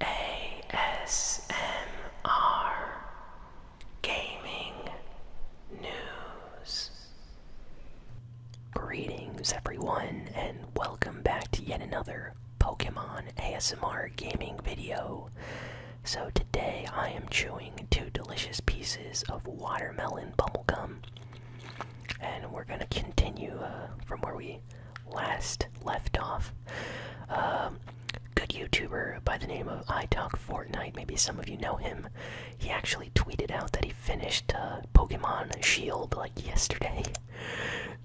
ASMR Gaming News. Greetings, everyone, and welcome back to yet another Pokemon ASMR gaming video. So, today I am chewing two delicious pieces of watermelon gum, and we're gonna continue uh, from where we last left off. Um, good YouTuber by the name of I Talk Fortnite. Maybe some of you know him. He actually tweeted out that he finished uh, Pokemon Shield like yesterday.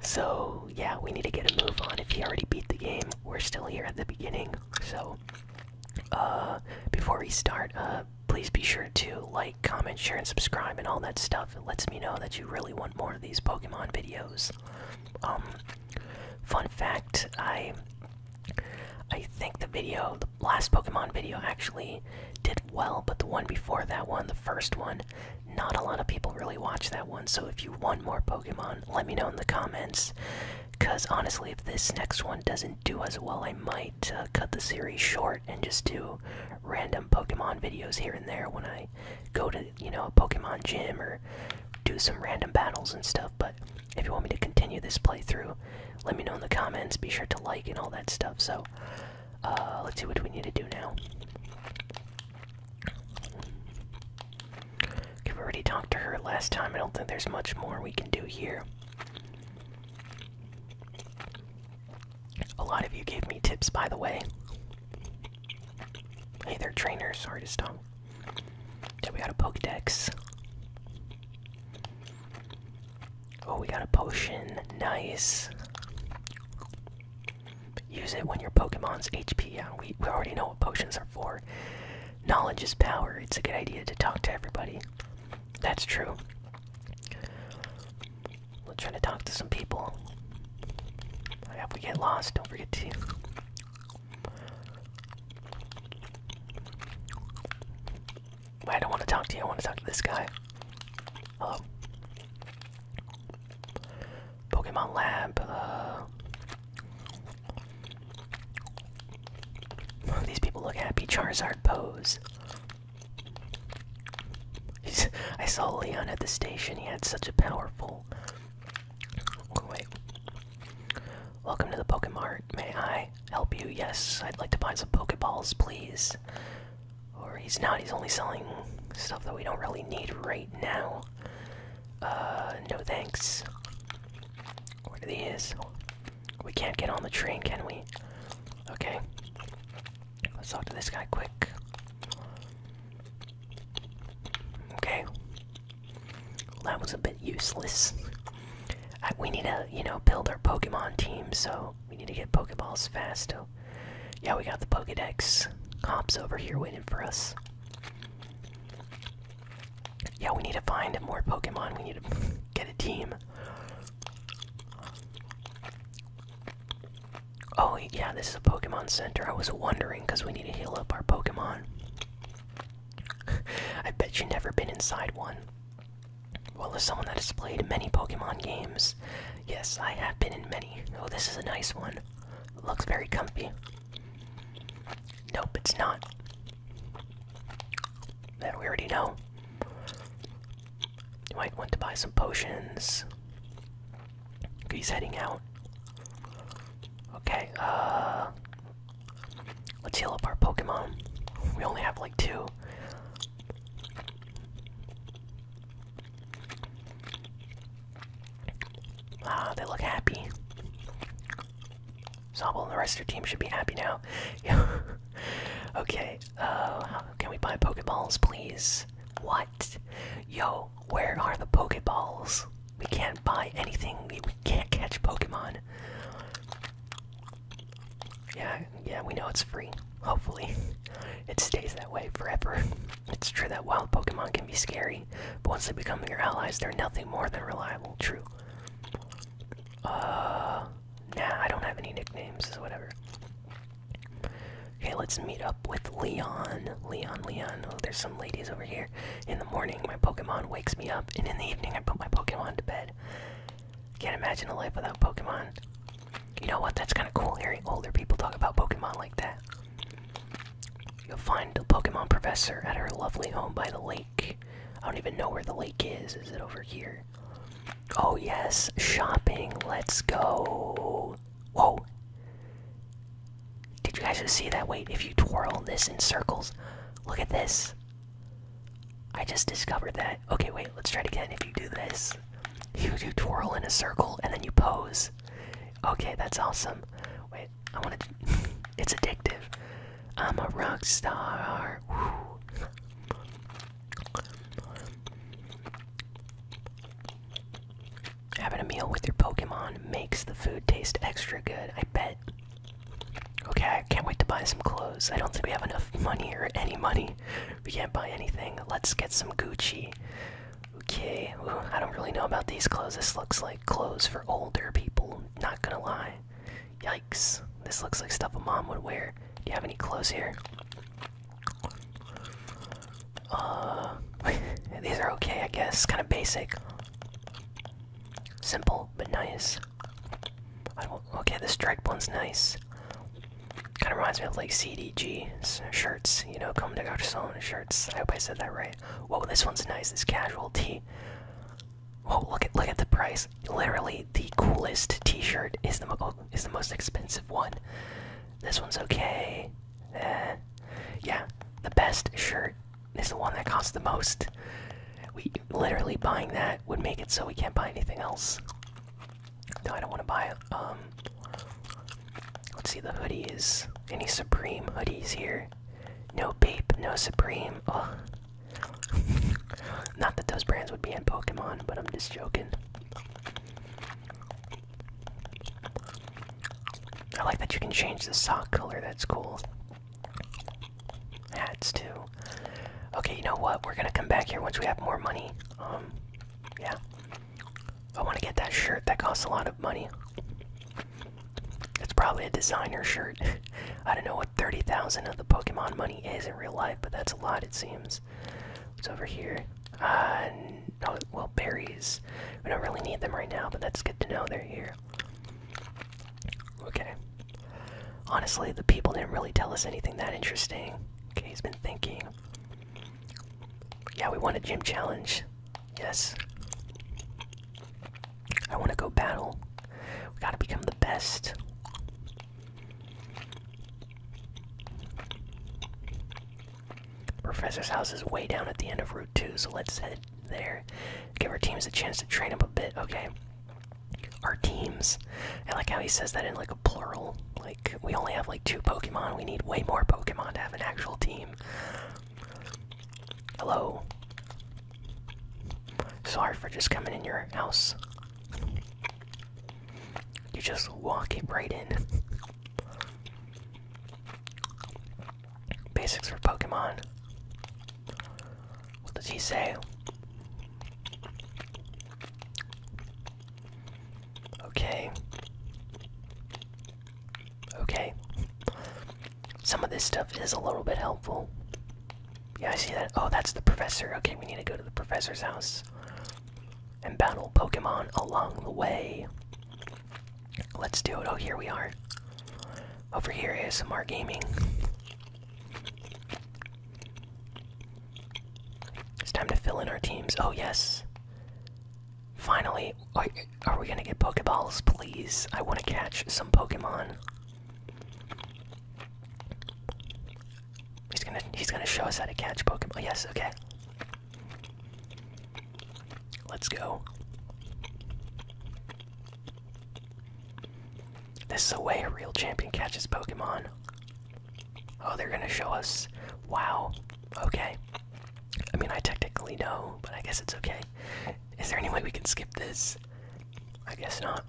So yeah, we need to get a move on. If he already beat the game, we're still here at the beginning. So uh, before we start, uh, please be sure to like, comment, share, and subscribe, and all that stuff. It lets me know that you really want more of these Pokemon videos. Um, fun fact, I I think the video, the last Pokemon video, actually did well, but the one before that one, the first one, not a lot of people really watch that one. So if you want more Pokemon, let me know in the comments. Because honestly, if this next one doesn't do as well, I might uh, cut the series short and just do random Pokemon videos here and there when I go to you know, a Pokemon gym or do some random battles and stuff. But if you want me to continue this playthrough, let me know in the comments. Be sure to like and all that stuff. So uh, let's see what we need to do now. Okay, we already talked to her last time. I don't think there's much more we can do here. A lot of you gave me tips, by the way. Hey there, trainers. Sorry to stop. Yeah, we got a Pokedex. Oh, we got a potion. Nice. Use it when your Pokemon's HP. Yeah, we, we already know what potions are for. Knowledge is power. It's a good idea to talk to everybody. That's true we are trying to talk to some people. If we get lost, don't forget to. I don't want to talk to you, I want to talk to this guy. Hello. Pokemon Lab, uh, These people look happy. Charizard pose. I saw Leon at the station. He had such a powerful. wait. Welcome to the Pokemart. May I help you? Yes, I'd like to buy some Pokeballs, please. Or he's not. He's only selling stuff that we don't really need right now. Uh, no thanks. What are these? We can't get on the train, can we? Okay. Let's talk to this guy quick. Okay. That was a bit useless. we need to, you know, build our Pokemon team, so we need to get Pokeballs fast. So. Oh, yeah, we got the Pokedex cops over here waiting for us. Yeah, we need to find more Pokemon. We need to get a team. Oh, yeah, this is a Pokemon Center. I was wondering because we need to heal up our Pokemon. I bet you've never been inside one. Well, as someone that has played many Pokemon games, yes, I have been in many. Oh, this is a nice one. Looks very comfy. Nope, it's not. That we already know. You might want to buy some potions. He's heading out. Okay, uh. Let's heal up our Pokemon. We only have like two. Ah, they look happy. Sobble and the rest of your team should be happy now. okay, uh, can we buy Pokeballs, please? What? Yo, where are the Pokeballs? We can't buy anything. We can't catch Pokemon. Yeah, yeah, we know it's free. Hopefully, it stays that way forever. It's true that wild Pokemon can be scary, but once they become your allies, they're nothing more than reliable. True. Uh, nah, I don't have any nicknames, whatever. Okay, let's meet up with Leon. Leon, Leon. Oh, there's some ladies over here. In the morning, my Pokemon wakes me up, and in the evening, I put my Pokemon to bed. Can't imagine a life without Pokemon. You know what? That's kind of cool hearing older people talk about Pokemon like that. You'll find the Pokemon professor at her lovely home by the lake. I don't even know where the lake is. Is it over here? Oh, yes, shopping. Let's go. Whoa! Did you guys see that? Wait, if you twirl this in circles, look at this. I just discovered that. Okay, wait, let's try it again. If you do this, you do twirl in a circle and then you pose. Okay, that's awesome. Wait, I want to. it's addictive. I'm a rock star. Having a meal with your Pokemon makes the food taste extra good, I bet. Okay, I can't wait to buy some clothes. I don't think we have enough money or any money. We can't buy anything. Let's get some Gucci. Okay, I don't really know about these clothes. This looks like clothes for older people, not gonna lie. Yikes, this looks like stuff a mom would wear. Do you have any clothes here? Uh, these are okay, I guess. Kind of basic. Simple, but nice. okay, this striped one's nice. Kind of reminds me of like CDG shirts, you know, comme de garçon shirts. I hope I said that right. Whoa, this one's nice. This casual tee. Oh, look at look at the price. Literally, the coolest T-shirt is the oh, is the most expensive one. This one's okay. Eh. Yeah, the best shirt is the one that costs the most. We literally buying that would make it so we can't buy anything else. No, I don't want to buy it. Um, let's see the hoodies. Any Supreme hoodies here? No Bape, no Supreme. Not that those brands would be in Pokemon, but I'm just joking. I like that you can change the sock color, that's cool. Hats too. Okay, you know what? We're gonna come back here once we have more money. Um, yeah. I wanna get that shirt, that costs a lot of money. It's probably a designer shirt. I don't know what 30,000 of the Pokemon money is in real life, but that's a lot, it seems. What's over here? Uh, no, well, berries. We don't really need them right now, but that's good to know they're here. Okay. Honestly, the people didn't really tell us anything that interesting. Okay, he's been thinking. Yeah, we want a gym challenge. Yes. I want to go battle. We gotta become the best. Professor's house is way down at the end of Route 2, so let's head there. Give our teams a chance to train up a bit. Okay. Our teams. I like how he says that in like a plural. Like, we only have like two Pokemon. We need way more Pokemon to have an actual team. Hello. Sorry for just coming in your house. You just walk it right in. Basics for Pokemon. What does he say? Okay. Okay. Some of this stuff is a little bit helpful. Yeah, I see that. Oh, that's the professor. Okay, we need to go to the professor's house and battle Pokemon along the way. Let's do it. Oh, here we are. Over here is some more gaming. It's time to fill in our teams. Oh, yes. Finally, are we gonna get Pokeballs, please? I wanna catch some Pokemon. He's gonna he's gonna show us how to catch Pokemon. Yes, okay. Let's go. This is the way a real champion catches Pokemon. Oh, they're gonna show us. Wow. Okay. I mean, I technically know, but I guess it's okay. Is there any way we can skip this? I guess not.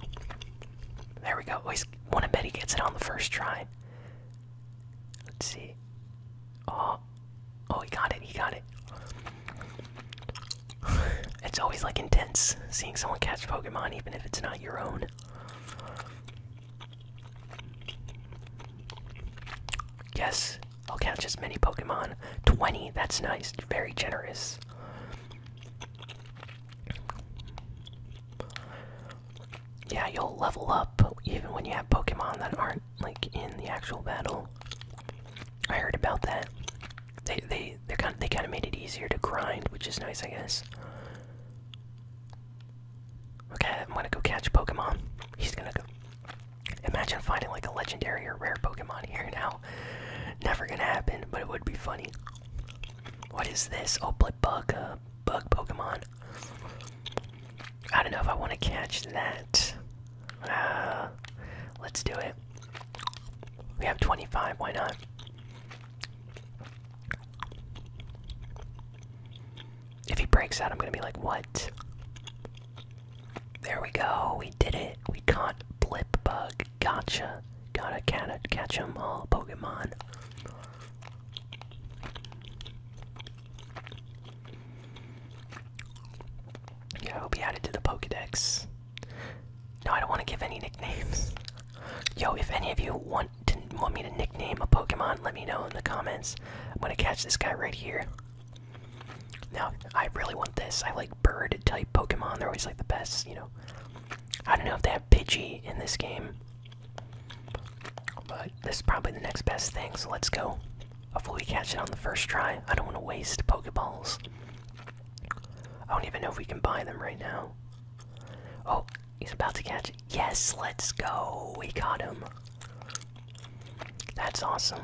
There we go. Oh, he's, one I bet he gets it on the first try. Let's see. Oh, oh, he got it. He got it. it's always like intense seeing someone catch Pokemon, even if it's not your own. Yes, I'll catch as many Pokemon. 20, that's nice. Very generous yeah, you'll level up even when you have Pokemon that aren't like in the actual battle. I heard about that. They they they kind they kind of made it easier to grind, which is nice, I guess. Okay, I'm gonna go catch Pokemon. He's gonna go. Imagine finding like a legendary or rare Pokemon here now. Never gonna happen, but it would be funny. What is this? Oh, bug, uh, bug Pokemon. I don't know if I want to catch that. Uh, let's do it. We have 25, why not? If he breaks out, I'm gonna be like, what? There we go, we did it. We caught Blip Bug. Gotcha. Gotta catch, catch 'em all, Pokemon. Yeah, i will be added to the Pokedex. No, I don't want to give any nicknames. Yo, if any of you want to want me to nickname a Pokemon, let me know in the comments. I'm gonna catch this guy right here. Now, I really want this. I like bird type Pokemon. They're always like the best, you know. I don't know if they have Pidgey in this game. But this is probably the next best thing, so let's go. Hopefully we catch it on the first try. I don't want to waste Pokeballs. I don't even know if we can buy them right now. Oh, he's about to catch it. Yes, let's go. We caught him. That's awesome.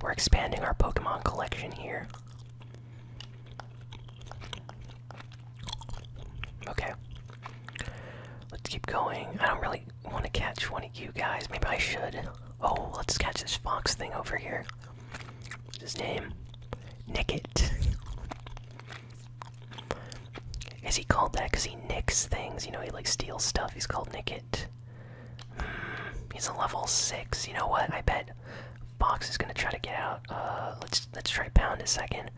We're expanding our Pokemon collection here. Okay. Let's keep going. I don't really want to catch one of you guys. Maybe I should. Oh, let's catch this fox thing over here. What's his name? Nicket. Is he called that because he nicks things? You know, he like steals stuff. He's called Nicket. Mm, he's a level six. You know what? I bet Fox is gonna try to get out. Uh, let's let's try Pound a second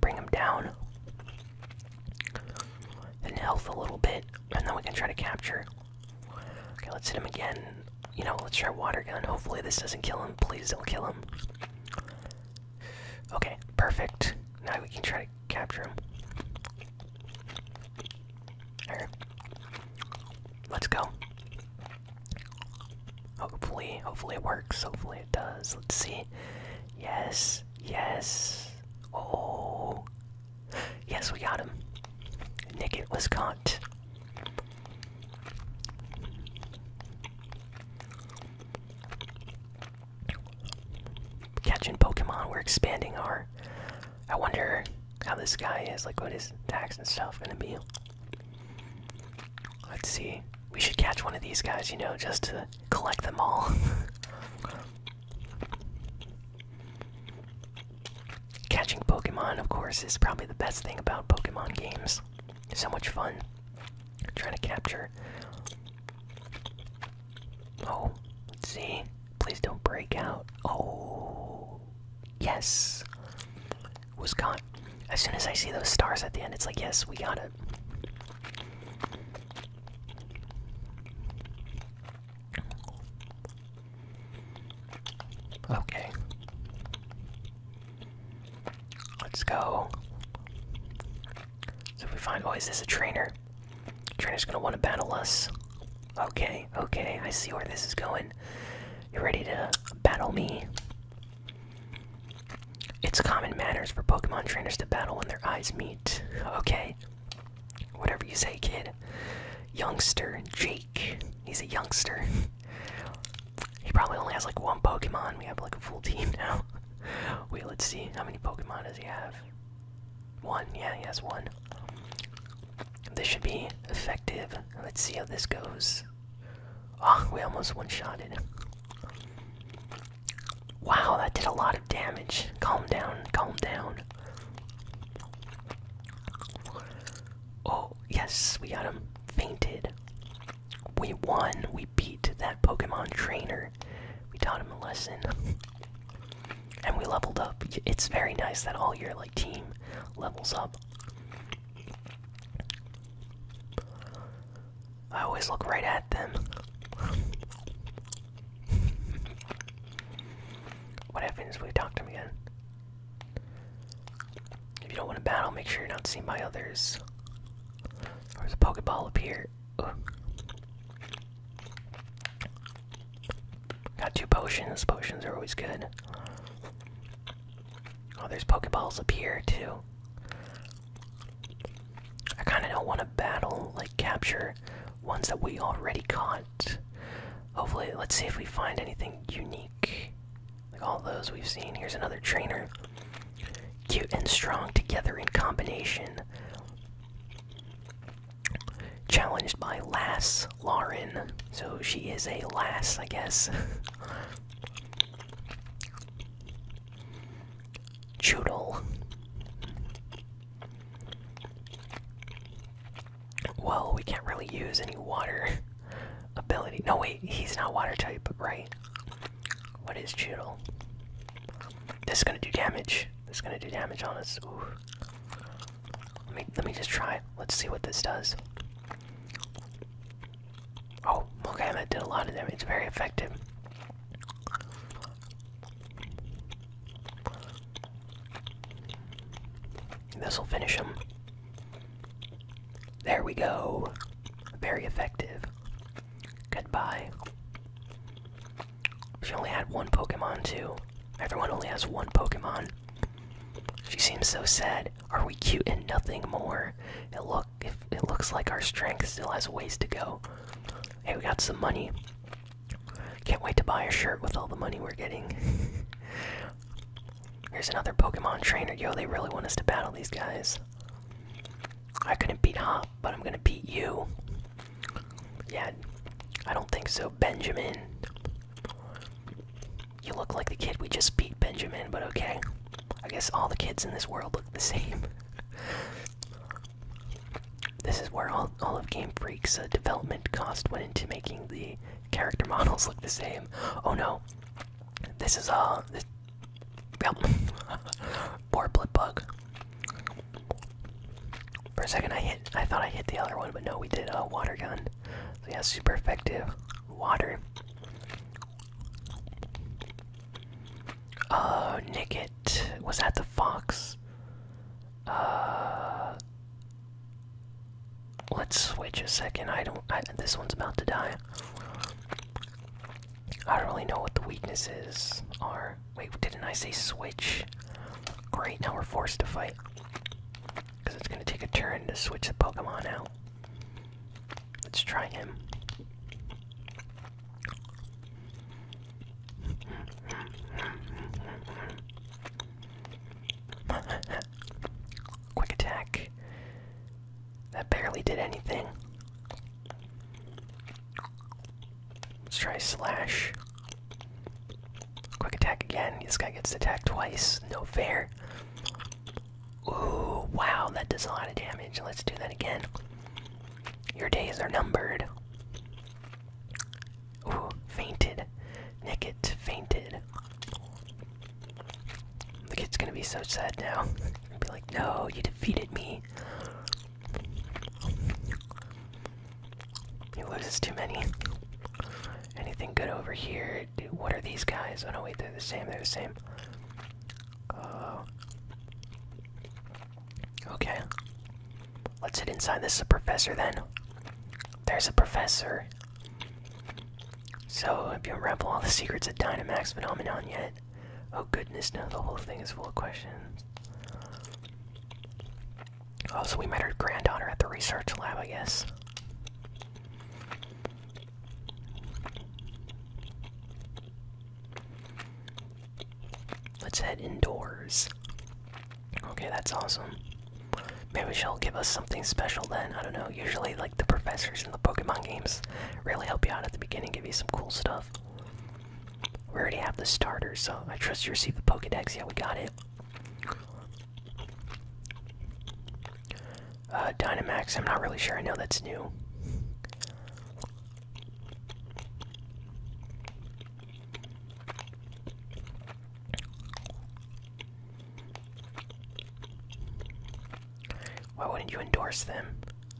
bring him down in health a little bit, and then we can try to capture. Okay, let's hit him again. You know, let's try water gun. Hopefully this doesn't kill him. Please don't kill him. Okay, perfect. Now we can try to capture him. Alright. Let's go. Hopefully, hopefully it works. Hopefully it does. Let's see. Yes, yes. Oh, yes, we got him. Nick, it was caught. Catching Pokemon. We're expanding our. I wonder how this guy is. Like, what his attacks and stuff gonna be? Let's see. We should catch one of these guys, you know, just to collect them all. Catching Pokemon, of course, is probably the best thing about Pokemon games. So much fun. Trying to capture. Oh, let's see. Please don't break out. Oh, yes was caught. As soon as I see those stars at the end, it's like, yes, we got it. Okay. Let's go. So if we find, oh, is this a trainer? Trainer's gonna want to battle us. Okay, okay, I see where this is going. You ready to battle me? It's common manners for Pokemon trainers to battle when their eyes meet. Okay. Whatever you say, kid. Youngster, Jake. He's a youngster. he probably only has like one Pokemon. We have like a full team now. Wait, let's see. How many Pokemon does he have? One. Yeah, he has one. This should be effective. Let's see how this goes. Oh, we almost one shot it. Wow, that did a lot of damage. Calm down, calm down. Oh, yes, we got him fainted. We won. We beat that Pokemon trainer. We taught him a lesson. and we leveled up. It's very nice that all your like team levels up. I always look right at them. what happens if we talk to him again? If you don't want to battle, make sure you're not seen by others. There's a Pokeball up here. Got two potions. Potions are always good. Oh, there's Pokeballs up here, too. I kind of don't want to battle, like capture ones that we already caught. Hopefully, let's see if we find anything unique. Like all those we've seen. Here's another trainer. Cute and strong together in combination. Challenged by Lass Lauren. So she is a lass, I guess. Choodle. Well, we can't really use any water ability. No, wait, he's not water type, right? What is Choodle? This is gonna do damage. This is gonna do damage on us. Let me let me just try. Let's see what this does. Oh, okay, that did a lot of them. It's Very effective. This will finish him. There we go. Very effective. Goodbye. She only had one Pokemon, too. Everyone only has one Pokemon. She seems so sad. Are we cute and nothing more? It look it looks like our strength still has ways to go. Hey, we got some money. Can't wait to buy a shirt with all the money we're getting. Here's another Pokemon trainer. Yo, they really want us to battle these guys. I couldn't beat Hop, but I'm gonna beat you. Yeah, I don't think so, Benjamin. You look like the kid we just beat, Benjamin, but okay. I guess all the kids in this world look the same. this is where all, all of Game Freak's uh, development cost went into making the character models look the same. Oh no, this is uh, this, yep, poor blip bug. For a second, I hit. I thought I hit the other one, but no, we did a uh, water gun. So yeah, super effective water. Oh, uh, Nicket. Was that the fox? Uh, let's switch a second. I don't this one's about to die. I don't really know what the weaknesses are. Wait, didn't I say switch? Great, now we're forced to fight. Cause it's gonna take a turn to switch the Pokemon out. Let's try him. Quick attack. That barely did anything. Let's try slash. Quick attack again. This guy gets attacked twice. No fair. Ooh, wow, that does a lot of damage. Let's do that again. Your days are numbered. Ooh, fainted. Nicket fainted. The kid's gonna be so sad now. be like, no, you defeated me. He loses too many. Anything good over here? dude. What are these guys? Oh no, wait, they're the same. They're the same. Uh, okay. Let's hit inside. This a professor then. There's a professor. So, if you unravel all the secrets of Dynamax phenomenon yet, oh goodness, no, the whole thing is full of questions. Oh, so we met her granddaughter at the research lab, I guess. Let's head indoors. Okay, that's awesome. Maybe she'll give us something special then. I don't know. Usually, like, the professors in the Pokemon games really help you out at the beginning, give you some cool stuff. We already have the starter, so I trust you receive the Pokedex. Yeah, we got it. Uh, Dynamax, I'm not really sure. I know that's new. Why wouldn't you endorse them?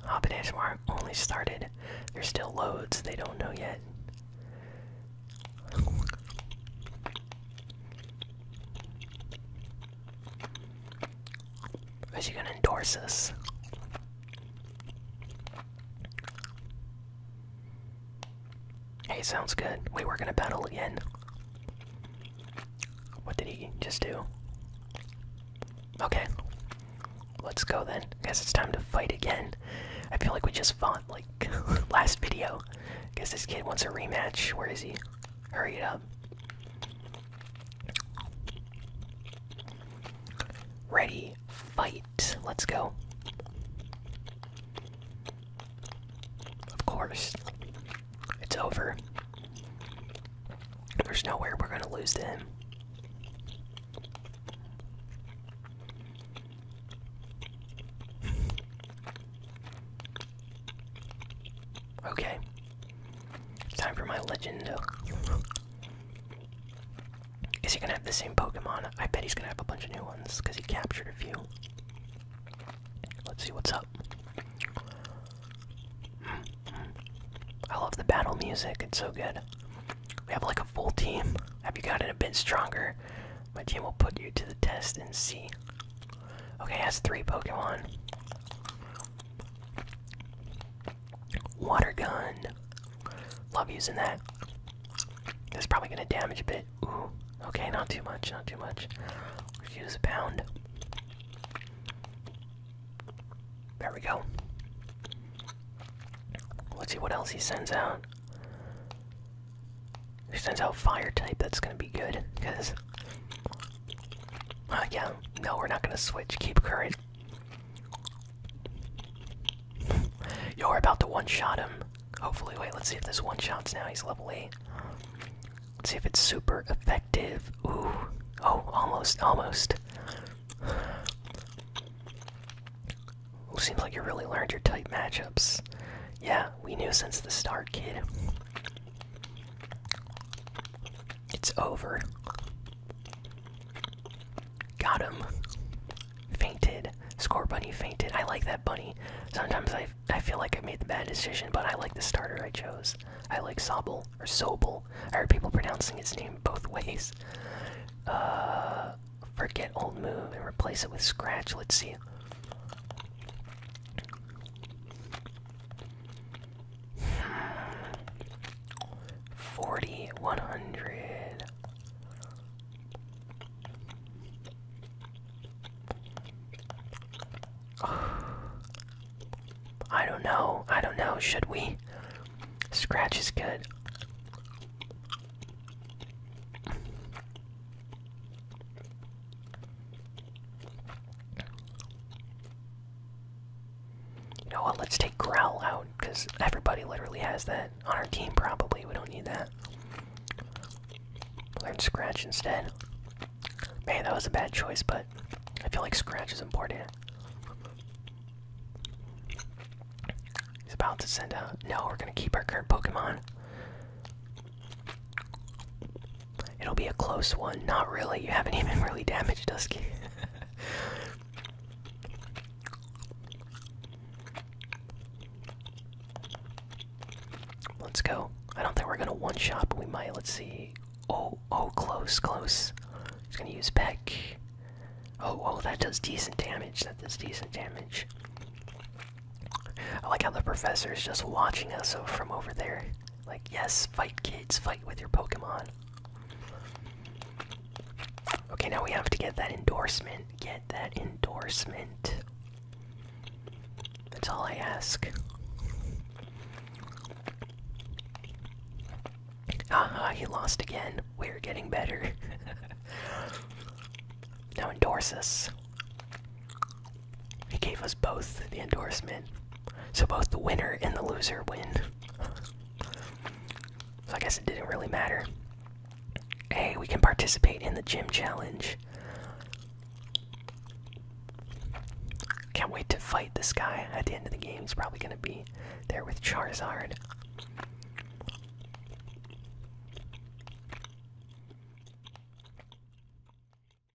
Hobbit ASMR only started. There's still loads they don't know yet. Is he gonna endorse us? Hey, sounds good. Wait, we're gonna battle again. What did he just do? Okay. Let's go then. Guess it's time to fight again. I feel like we just fought like last video. Guess this kid wants a rematch. Where is he? Hurry it up. Ready, fight. Let's go. Of course. It's over. There's nowhere we're going to lose to Okay. time for my legend. Is he gonna have the same Pokemon? I bet he's gonna have a bunch of new ones because he captured a few. Let's see what's up. I love the battle music, it's so good. We have like a full team. Have you got it a bit stronger? My team will put you to the test and see. Okay, has three Pokemon. Water gun. Love using that. It's probably gonna damage a bit. Ooh, okay, not too much, not too much. use a pound. There we go. Let's see what else he sends out. He sends out fire type, that's gonna be good, because uh, yeah, no, we're not gonna switch. Keep current. you are about to one shot him. Hopefully, wait, let's see if this one shots now. He's level 8. Let's see if it's super effective. Ooh. Oh, almost, almost. Ooh, seems like you really learned your type matchups. Yeah, we knew since the start, kid. It's over. Got him. Fainted. Score bunny fainted. I like that bunny. Sometimes I, I feel like I made the bad decision, but I like the starter I chose. I like Sobble or Sobel. I heard people pronouncing his name both ways. Uh, forget old move and replace it with scratch. Let's see. Forty one hundred. I don't know. I don't know. Should we? Scratch is good. You know what? Let's take Growl out because everybody literally has that on our team. Probably we don't need that. Learn Scratch instead. Man, that was a bad choice, but I feel like Scratch is important. He's about to send out. No, we're gonna keep our current Pokemon. It'll be a close one. Not really. You haven't even really damaged Dusky. Let's go. I don't think we're gonna one shot, but we might. Let's see. Oh, oh, close, close. He's gonna use Peck. Oh, oh, that does decent damage. That does decent damage. I like how the professor is just watching us from over there. Like, yes, fight kids, fight with your Pokemon. Okay, now we have to get that endorsement. Get that endorsement. That's all I ask. Haha, he lost again. We're getting better. now endorse us. He gave us both the endorsement. So both the winner and the loser win. so I guess it didn't really matter. Hey, we can participate in the gym challenge. Can't wait to fight this guy at the end of the game. He's probably going to be there with Charizard.